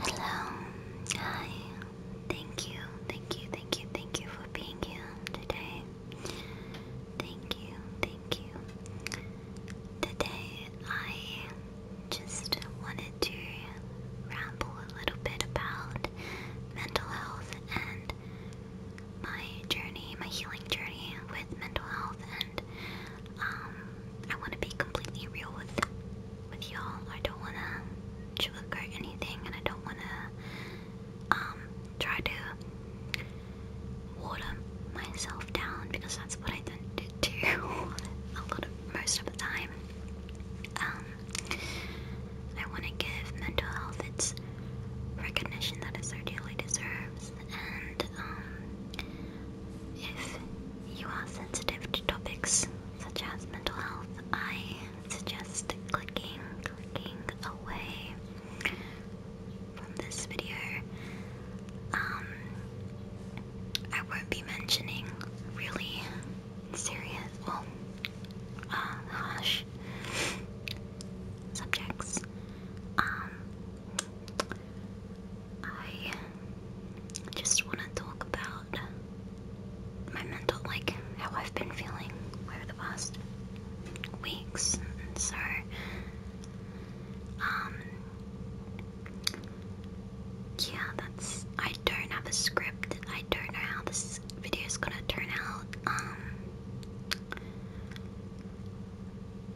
Hello. Hi. Thank you. Thank you. Thank you. Thank you for being here today. Thank you. Thank you. Today I just wanted to ramble a little bit about mental health and my journey, my healing journey with mental health and um, I want to be completely real with with y'all. I don't want to sugarcoat anything, and I don't want to um, try to water myself down because that's what I tend to do a lot of most of the time. Um, I want to give mental health its recognition that it so dearly deserves, and um, if you are sensitive to topics such as mental health, I suggest clicking, clicking away from this video. Um, I won't be mentioning really serious, well, uh, harsh subjects. Um, I just want to talk about my mental, like how I've been feeling over the past weeks. And so, um, yeah, that's. I don't have a script. I don't know how this video is gonna turn out. Um,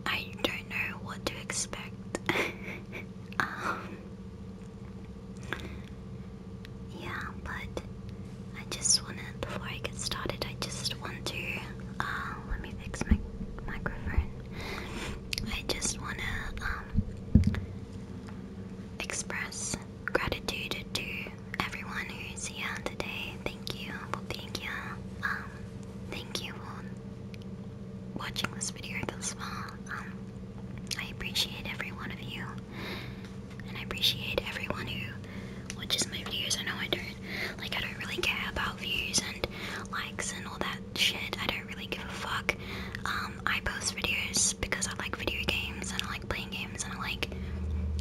I don't know what to expect. um, yeah, but I just wanna before I get started, I just want to uh, let me fix my microphone. I just wanna um, express gratitude to everyone who's here today. Thank you for being here. Um, thank you watching this video thus far. Um, I appreciate every one of you, and I appreciate everyone who watches my videos. I know I don't, like, I don't really care about views and likes and all that shit. I don't really give a fuck. Um, I post videos because I like video games and I like playing games and I like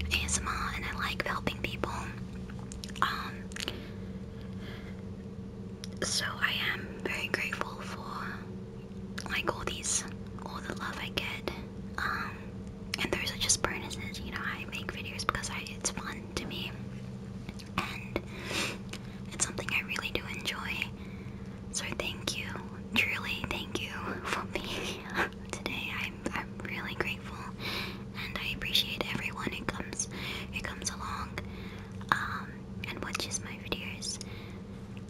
ASMR and I like helping people. Um, so I am very grateful for like all these, all the love I get. Um, and those are just bonuses. You know, I make videos because I, it's fun to me, and it's something I really do enjoy. So thank you, truly thank you for being here today. I'm I'm really grateful, and I appreciate everyone who comes who comes along. Um, and watches my videos.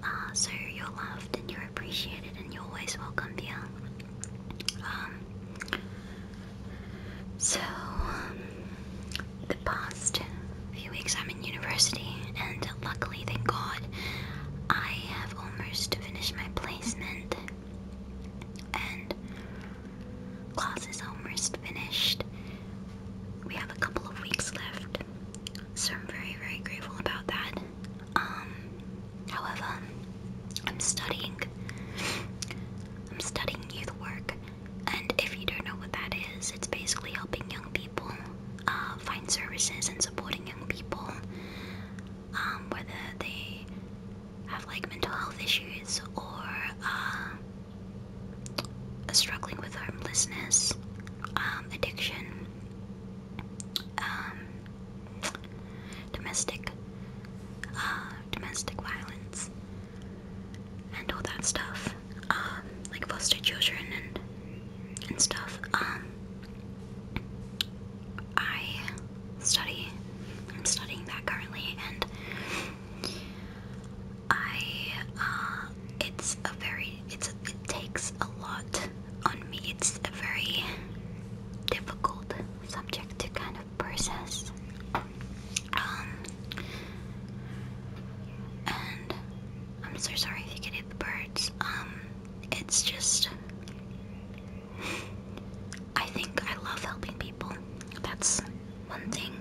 Uh, so you're loved and you're appreciated and you're always welcome here. Um, so, um, the past few weeks I'm in university, and luckily, thank God, I have almost finished my placement, and classes are almost finished we have a couple of weeks left, so I'm very, very grateful about that. Um, however, I'm studying. I'm studying youth work, and if you don't know what that is, it's basically helping young people uh, find services and supporting young people, um, whether they have like mental health issues or uh, struggling with homelessness, um, addiction, um, domestic, uh, domestic violence, and all that stuff, um, like foster children and and stuff. Um, I study. I'm studying that currently, and I uh, it's a very it's it takes a lot on me. It's a very difficult subject to kind of process. Um, and I'm so sorry if you can hit the birds. Um, it's just I think I love helping people. That's one thing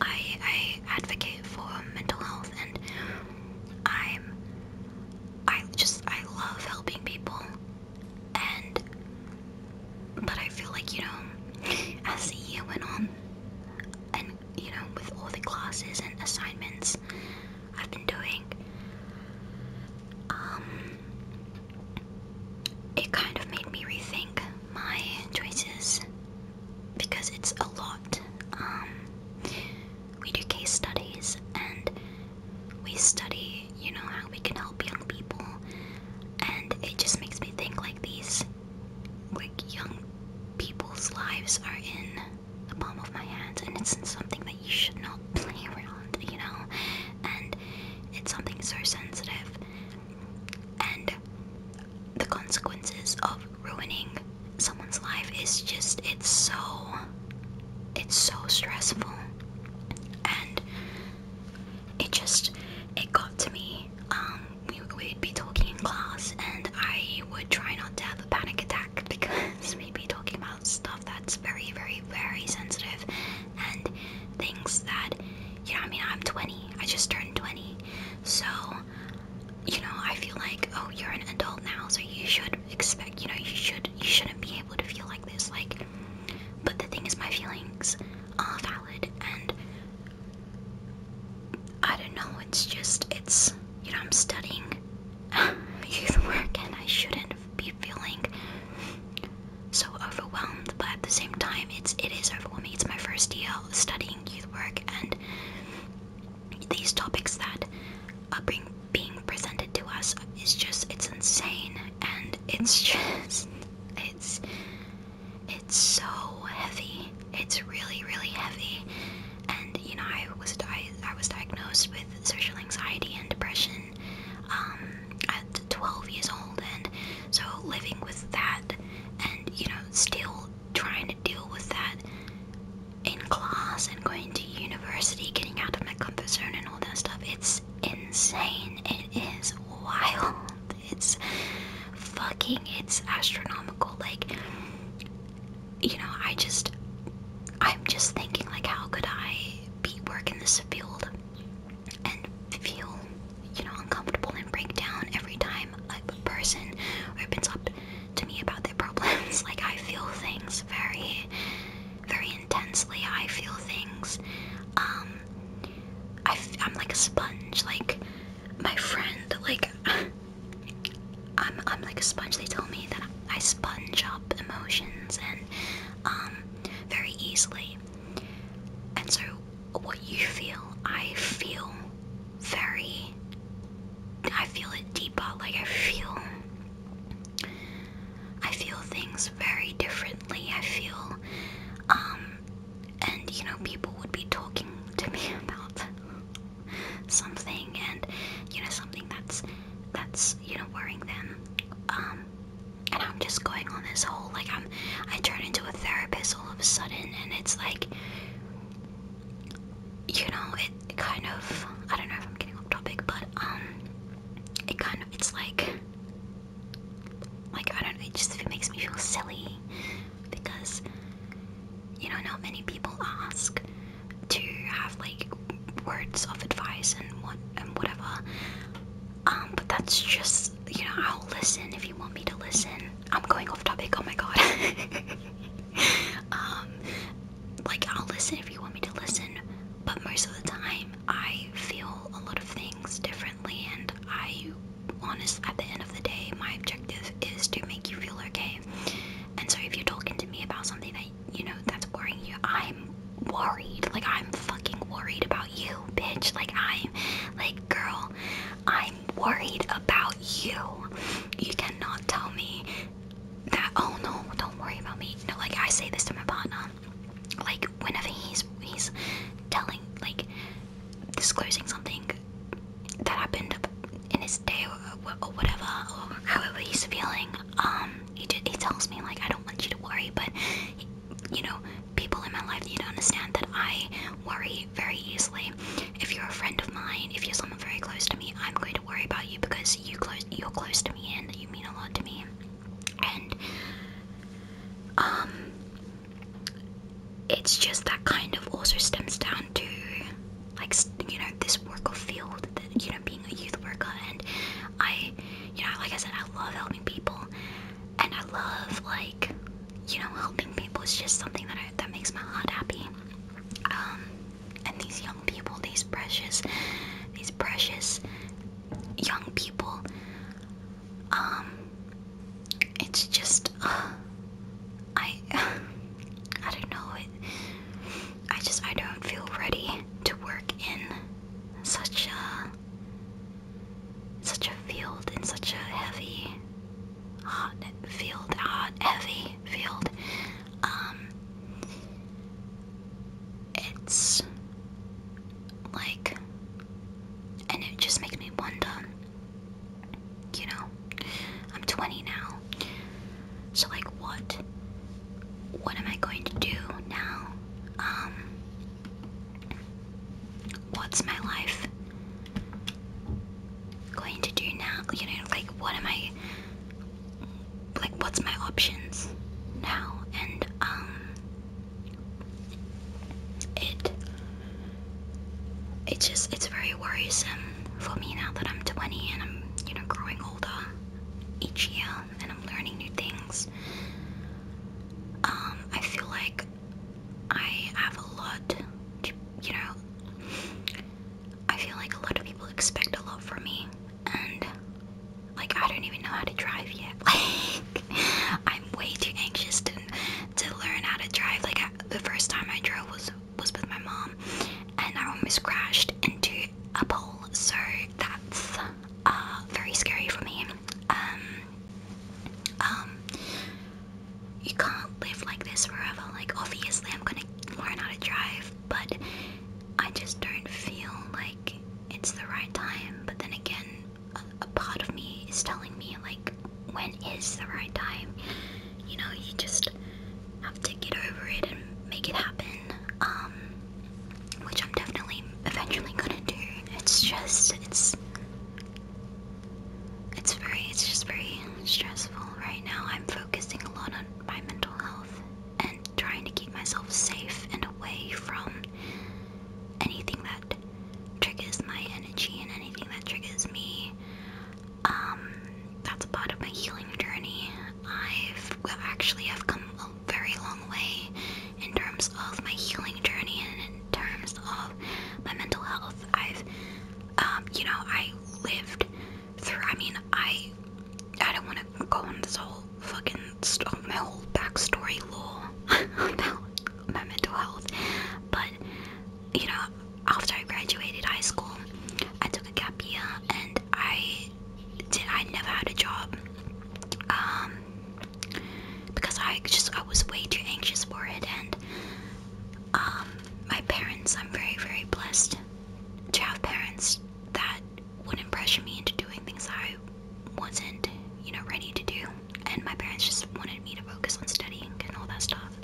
I, I advocate for mental health and I'm I just I love helping people and but I feel like you know as the year went on and you know with all the classes and assignments I've been doing um it kind of made me rethink my choices because it's a lot. Um, we do case studies and we study, you know, how we can help young people, and it just makes me think like these like young people's lives are in the palm of my hand, and it's something that you should not play around, you know, and it's something so sensitive, and the consequences of ruining someone's life is just it's so it's so stressful and it just it got to me um we, we'd be talking in class and i would try not to have a panic attack because we'd be talking about stuff that's very very very sensitive and things that you know i mean i'm 20 i just turned 20 so you know, I feel like, oh, you're an adult now, so you should expect, you know, you should, you shouldn't be able to feel like this, like, but the thing is, my feelings are valid, and I don't know, it's just, it's, you know, I'm studying youth work, and I shouldn't be feeling so overwhelmed, but at the same time, it's, it is overwhelming, it's my first year studying youth work, and these topics that are being presented to us is just it's insane and it's just it's it's so heavy it's really really heavy and you know I was I, I was diagnosed with social anxiety and depression um, at 12 years old and so living with that and you know still trying to deal with that in class and going to university, getting out of my comfort zone and all that stuff. It's insane. It is wild. It's fucking it's astronomical. Like you know, I just I'm just thinking like how could I be working this field and feel, you know, uncomfortable and break down every time a person opens up to me about their problems. Like I feel things very, very intensely. I feel things. Um, I am like a sponge. Like my friend, like I'm I'm like a sponge. They tell me that I sponge up emotions and um very easily. And so what you feel, I feel very. I feel it deeper. Like I feel. I feel things very differently. I feel. Um, and you know, people would be talking to me about something, and you know, something that's that's you know worrying them. Um, and I'm just going on this whole like I'm. I turn into a therapist all of a sudden, and it's like you know, it kind of I don't know if I'm getting off topic, but um it kind of it's like like I don't know, it just it makes me feel silly because you know not many people ask to have like words of advice and what and whatever. Um, but that's just you know, I'll listen if you want me to listen. I'm going off topic, oh my god. Um, like I'll listen if you want me to listen, but most of the time I feel a lot of things differently, and I honestly, at the end of the day, my objective is to make you feel okay. And so if you're talking to me about something that you know that's worrying you, I'm worried. Like I'm fucking worried about you, bitch. Like I'm like girl, I am I'm worried about you. You cannot tell me that, oh no, don't worry about me. No, like I say this to my partner. Like whenever he's he's telling like disclosing something that happened in his day or, whatever or however he's feeling, um, he he tells me like I don't want you to worry, but you know people in my life you don't understand that I worry very easily if you're a friend of mine, if you're someone very close to me, I'm going to worry about you because you close, you're close to me and you mean a lot to me. And um, it's just that kind of also stems down to like you know this work of field, that, you know, being a youth worker. And I, you know, like I said, I love helping people, and I love like you know helping people. is just something that I, that makes my heart happy. Um, and these young people, these precious, these precious young people. Um, it's just, I, I don't know. It, I just, I don't feel ready to work in such a, such a field in such a heavy hot field, hot heavy field. Um, it's like, and it just makes me wonder. You know, I'm 20 now, so like, what, what am I going to do now? Um, what's my life? going to do now? You know, like what am I like what's my options now? And um it it's just it's very worrisome for me now that I'm 20 and I'm, you know, growing older each year and I'm learning new things. Um, I feel like I have a lot to, you know, I feel like a lot of people expect a lot from me, and like I don't even know how to drive yet. Like I'm way too anxious to to learn how to drive. Like the first time I drove was was with my mom, and I almost crashed into a pole. So that's uh, very scary for me. Um, um, you can't live like this forever. Like, obviously, I'm gonna learn how to drive, but I just don't feel like it's the right time. But then again, a, part of me is telling me, like, when is the right time? You know, you just have to get over it and make it happen. Um, which I'm definitely eventually gonna do. It's just, it's it's very it's just very stressful right now. I'm focusing a lot on my mental health and trying to keep myself safe and away from anything that triggers my energy and anything that triggers me. Um that's part of my healing journey. I've actually have come a very long way in terms of my healing journey and in terms of my mental health. I've um, you know, I lived through. I mean, I I don't want to go on this whole fucking st my whole backstory lore about my mental health, but you know, after I graduated high school, I took a gap year and I did. I never had a job. Um, because I just I was way too anxious for it, and um, my parents. I'm very very blessed to have parents that wouldn't pressure me into doing things I wasn't, you know, ready to do. And my parents just wanted me to focus on studying and all that stuff.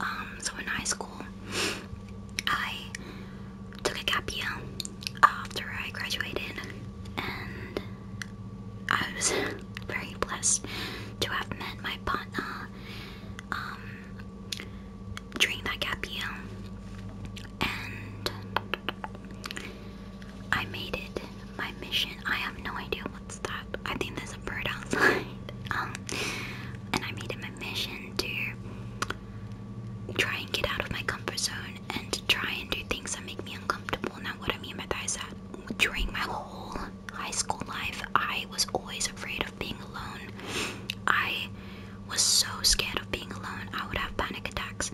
Um, so in high school, I took a gap year after I graduated, and I was very blessed to have met my partner. Um, during that gap and I made it my mission. I have no idea what's that. I think there's a bird outside. Um, and I made it my mission to try and get out of my comfort zone and try and do things that make me uncomfortable. Now, what I mean by that is that during my whole high school life, I was always afraid of being alone. I was so scared of being alone. I would have panic attacks.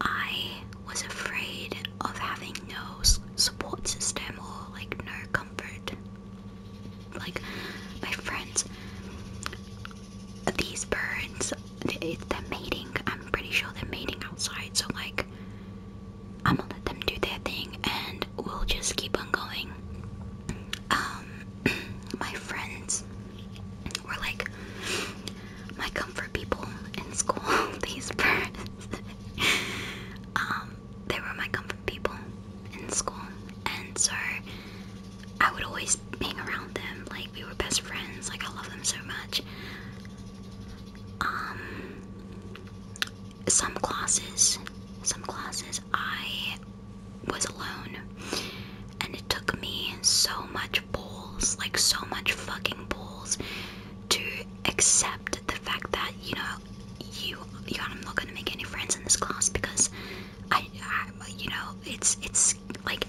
I was afraid of having no support system or like no comfort. Like my friends, these birds, they're mating. I'm pretty sure they're mating outside. So like, I'm gonna let them do their thing and we'll just keep on going. Um, my friends were like my comfort people in school. These birds, um, they were my comfort people in school, and so I would always hang around them. Like we were best friends. Like I love them so much. Um, some classes, some classes I was alone. And it took me so much balls, like so much fucking balls, to accept the fact that, you know, you, you I'm not gonna make any friends in this class because I, I you know, it's, it's like,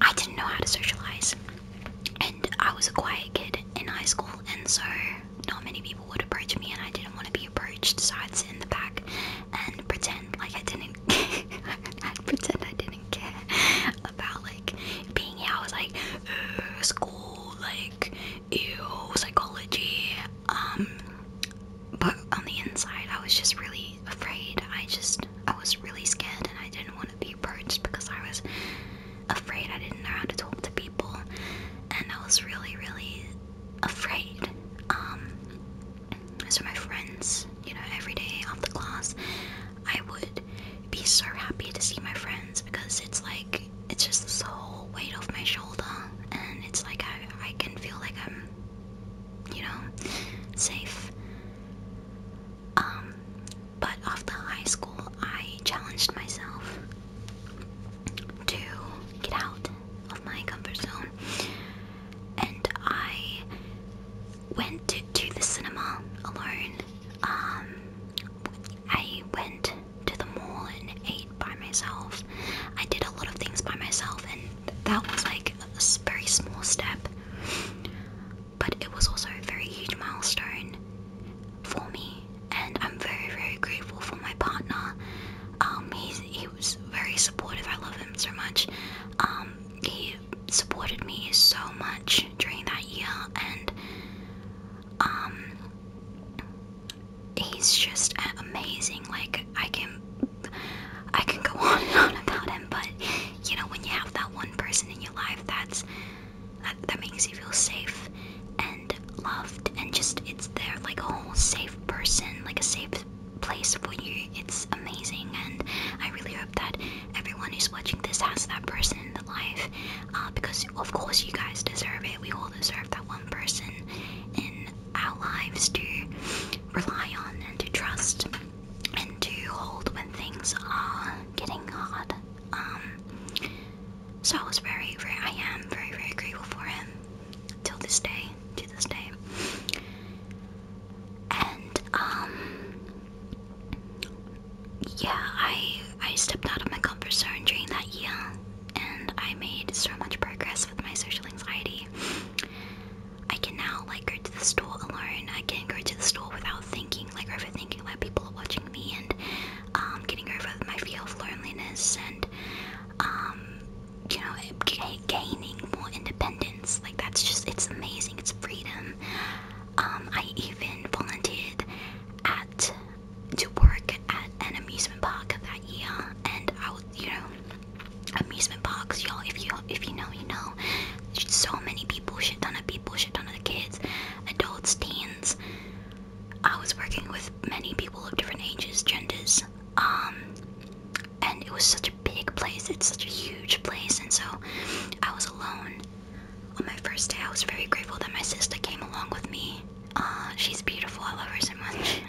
I didn't know how to socialize. And I was a quiet kid in high school, and so not many people would approach me, and I didn't want to be approached, so I'd sit in the back and pretend like I didn't. I'd pretend I didn't care about like being here. I was like, school, like, ew, psychology. Um, but on the inside, I was just really afraid. I just, I was really scared, and I didn't want to be approached because I was afraid I didn't know how to talk to people, and I was really, really afraid. Um, so my friends, you know, every day after class, I would be so happy to see my friends because it's like it's just this whole weight off my shoulder, and it's like I I can feel like I'm, you know, safe. Um, but after high school, I challenged myself to get out of my comfort zone. And I went to, the cinema alone. Um, I went to the mall and ate by myself. I did a lot of things by myself, and that was like a very small step. But it was also a very huge milestone for me, and I'm very, very grateful for my partner. Um, he's, he he was very supportive. I love him so much. Um, he supported me so much during that year, and um, he's just amazing. Like I can, I can go on and on about him, but you know, when you have that one person in your life, that's that, that makes you feel safe and loved and just it's there like a whole safe person, like a safe place for you. It's amazing and I really hope that everyone who's watching this has that person in their life. Uh, because of course you guys deserve it. We all deserve that one person in our lives to rely on and to trust and to hold when things are getting hard. Um, so I was very, very, I am very, very grateful for him till this day, till this day. And um yeah, I I stepped out of my comfort zone during that year and I made so much progress with my social anxiety. I can now like go to the store alone. I can go to the store without thinking, like overthinking like people watching me and um getting over my fear of loneliness and um you know, gaining more independence. Like that's just it's amazing. It's freedom. Um, I even volunteered at to work at an amusement park that year, and I would, you know, amusement parks, y'all. If you if you know, you know. So many people, shit ton of people, shit ton of kids, adults, teens. I was working with many people of different ages, genders, um, and it was such a big place. It's such a huge place, and so I was alone on my first day. I was very grateful that my sister came along with me. Uh, she's beautiful. I love her so much.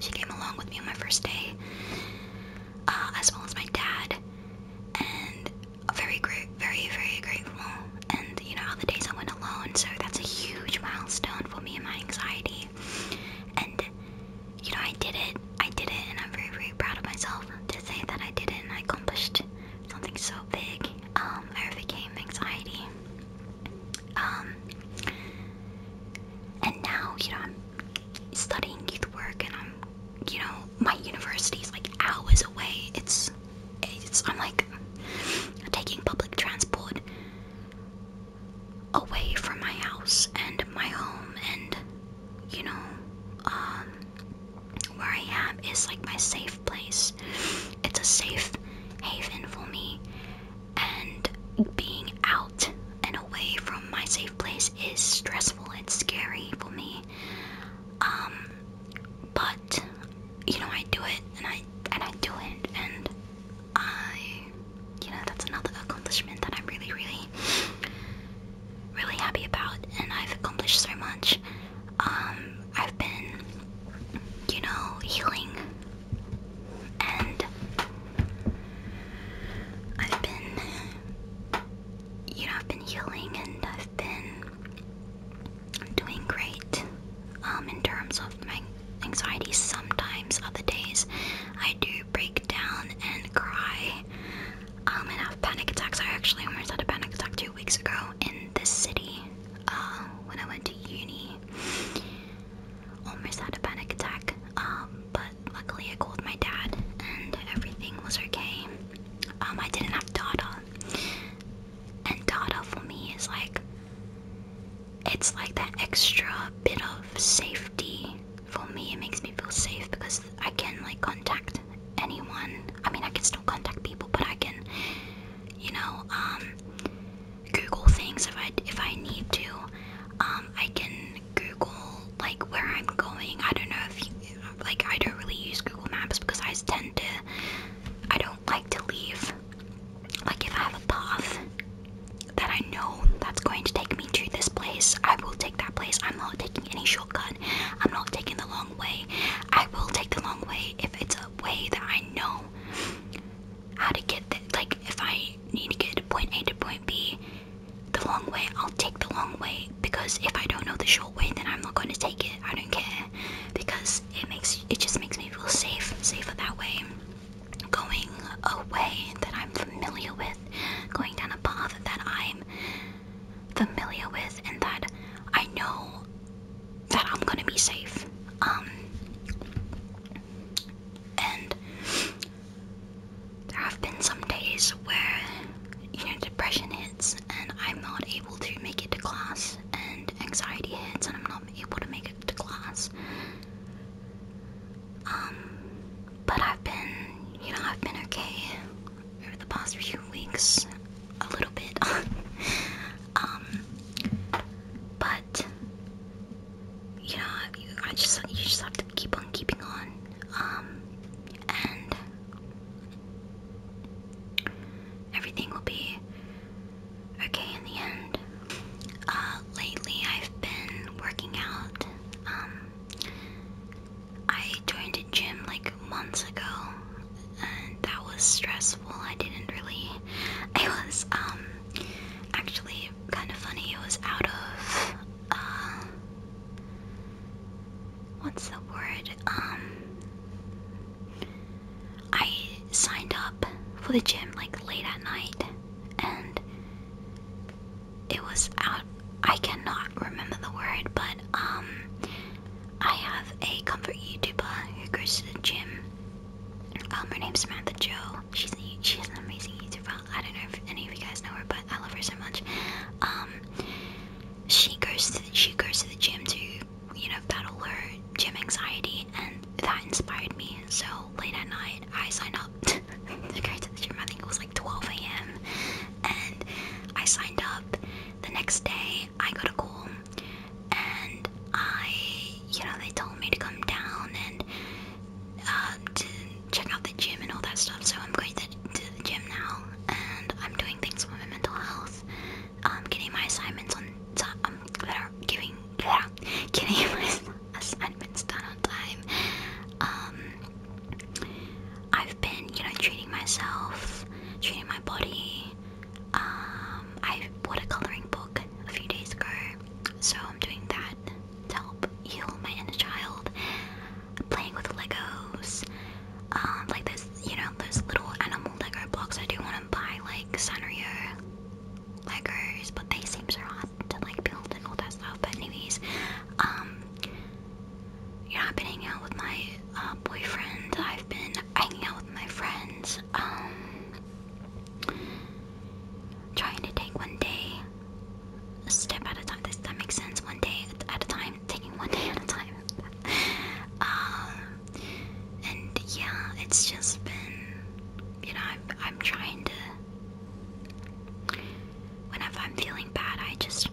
she came along with me on my first day, uh, as well as my dad, and very great, very very grateful. And you know, all the days I went alone, so that's a huge milestone for me and my anxiety and you know, I did it. I did it, and I'm very, very proud of myself to say that I did it and I accomplished something so big. Um, I overcame anxiety. Um, and now, you know, I'm studying youth work, and I'm, you know, my university's like hours away. It's, it's. I'm like taking public transport away from my house and my home and you know um where I am is like my safe place. It's a safe haven for me and being out and away from my safe place is stressful. It's scary for me. Um but you know I do it and I and I do it and I you know, that's another accomplishment that I'm really, really, really happy about, and I've accomplished so much. Um, I've been, you know, healing, and I've been, you know, I've been healing, and I've been doing great um, in terms of my anxiety. Sometimes, other days, I do break down and cry um, and have panic attacks. I actually almost had a panic attack two weeks ago in this city uh, when I went to uni. Almost had a panic attack, um, but luckily I called my dad and everything was okay. Um, I didn't have data, and data for me is like it's like that extra bit of safety for me. It makes me feel safe because I can like contact anyone. I mean, I can still contact people, but I can, you know, um, Google things if I if I need to. Um, I can Google like where I'm going. I don't know if you like. I don't really use Google Maps because I tend to. I don't like to leave like if I have a path that I know that's going to take me to this place, I will take that place. I'm not taking any shortcut. I'm not taking the long way. I will take the long way if it's a way that I know how to get there. Like if I need to get to point A to point B, the long way, I'll take the long way because if I don't know the short way, then I'm not going to take it. I don't care because it makes it just makes me feel safe, safer that way going a way that I'm familiar with, going down a path that I'm familiar with, and that I know that I'm gonna be safe. Um, and there have been some days where you know depression hits, and I'm not able to make it to class, and anxiety hits, and I'm not able to make it to class. Um, but I've been, you know, I've been okay over the past few weeks, a little bit. um, but you know, I just you just have to keep on keeping on. Um, and everything will be Okay, in the end, uh, lately I've been working out. Um, I joined a gym like months ago, and that was stressful. I didn't really. It was um, actually kind of funny. It was out of uh, what's the word? Um, I signed up for the gym like late at night and it was out I cannot remember the word, but um I have a comfort YouTuber who goes to the gym. Um her name's Samantha Joe. She's a, an amazing YouTuber. I don't know if any of you guys know her, but I love her so much. Um she goes to she goes to the gym to, you know, battle her gym anxiety and that inspired me. So late at night I signed up to go to the gym. I think it was like 12 a.m. And I signed up. The next day, I got a call, and I, you know, they told me to come down and um, to check out the gym and all that stuff. So I'm going to, the gym now, and I'm doing things for my mental health. I'm um, getting my assignments on. I'm um, giving. Getting my assignments done on time. Um, I've been, you know, treating myself, treating my body. Um, I bought a coloring book a few days ago, so I'm doing that to help heal my inner child. Playing with Legos, um, like this, you know, those little animal Lego blocks. I do want to buy like Sanrio Legos, but they seem so hard to like build and all that stuff. But anyways, um, yeah, I've been hanging out with my uh, boyfriend. I've been hanging out with my friends. Um, trying to take one day, a step at a time. Does that make sense? One day at a time, taking one day at a time. um, and yeah, it's just been you know, I'm, I'm trying to. Whenever I'm feeling bad, I just.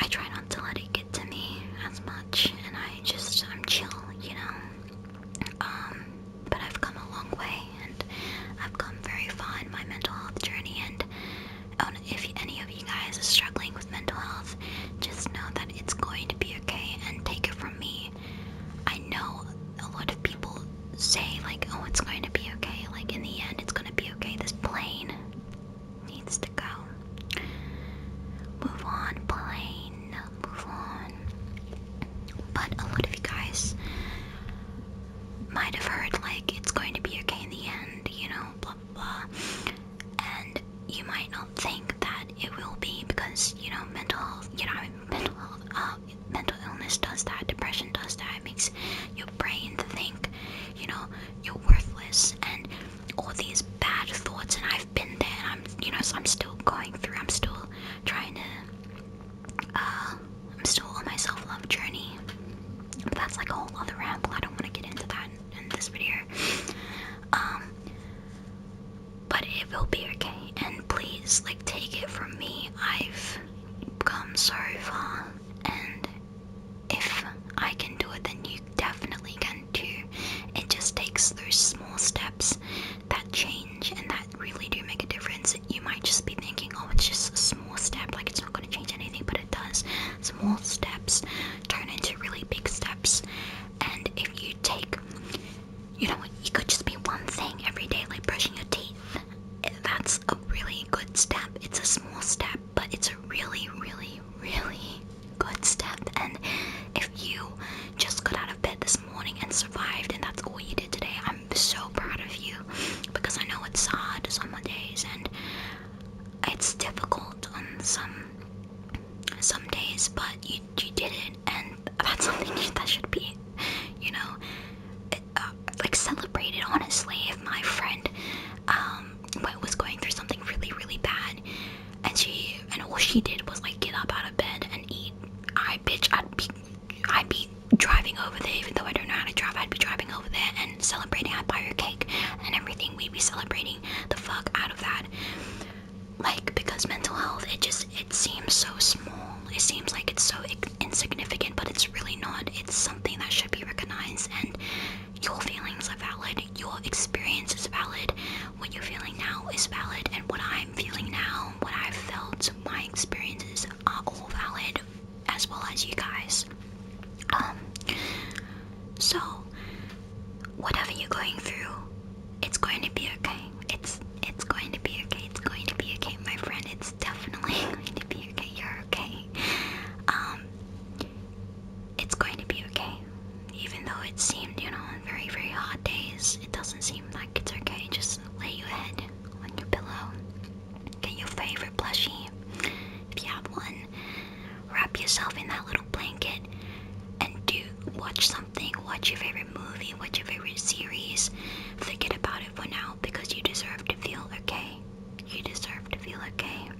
I try not to let it get to me as much, and I just. I'm chill, you know? Um, but I've come a long way, and I've come very far in my mental health journey, and oh, if any of you guys are struggling with mental health, just know that it's going to be okay and take it from me. I know a lot of people say, like, oh, it's going to be okay, like, in the end, it's going to be okay. This plane needs to go. Move on, plane, move on. But a lot of you guys might have heard, like, it's going to be okay in the end, you know, blah blah blah. And you might not think that it will be because you know mental health, you know mental health, uh, mental illness does that, depression does that. It makes your brain think, you know, you're worthless and all these bad thoughts. And I've been there. And I'm, you know, so I'm still going through. I'm still trying to. Uh, I'm still on my self-love journey. But that's like a whole other ramble. I don't want to get into that in, this video. Um, but it will be okay. And please, like, take it from me. I've come so far, and if I can do it, then you definitely can too. It just takes those small steps that change and that really do make a difference. You might just be thinking, oh, it's just a small step, like it's not going to change anything, but it does. Small steps turn into really big steps, and if you take you know, you could just be one thing every day, like brushing your teeth. That's a really good step. It's a small step, but it's a really, really, really good step. And if you just got out of bed this morning and survived, and that's all you did today, I'm so proud of you because I know it's hard some days and it's difficult on some some days, but you you did it, and that's something that should be, you know, uh, like celebrated. Honestly, if my friend um was going through something really, really bad, and she and all she did was like get up out of bed and eat, I bitch, I'd be, I'd be driving over there. Even though I don't know how to drive, I'd be driving over there and celebrating. I'd buy her cake and everything. We'd be celebrating the fuck out of that like because mental health it just it seems so small it seems like it's so insignificant but it's really not it's something that should be recognized and your feelings are valid your experience is valid what you're feeling now is valid and what i'm feeling now what i've felt my experiences are all valid as well as you guys um so whatever you're going through it's going to be okay. It's it's going to be okay. It's going to be okay, my friend. It's definitely going to be okay. You're okay. Um it's going to be okay. Even though it seemed, you know, on very, very hot days, it doesn't seem like it's okay. Just lay your head on your pillow. Get your favorite plushie. If you have one, wrap yourself in that little blanket and do watch something, watch your favorite movie, watch your favorite series. Forget about it for now because you deserve to feel okay. You deserve to feel okay.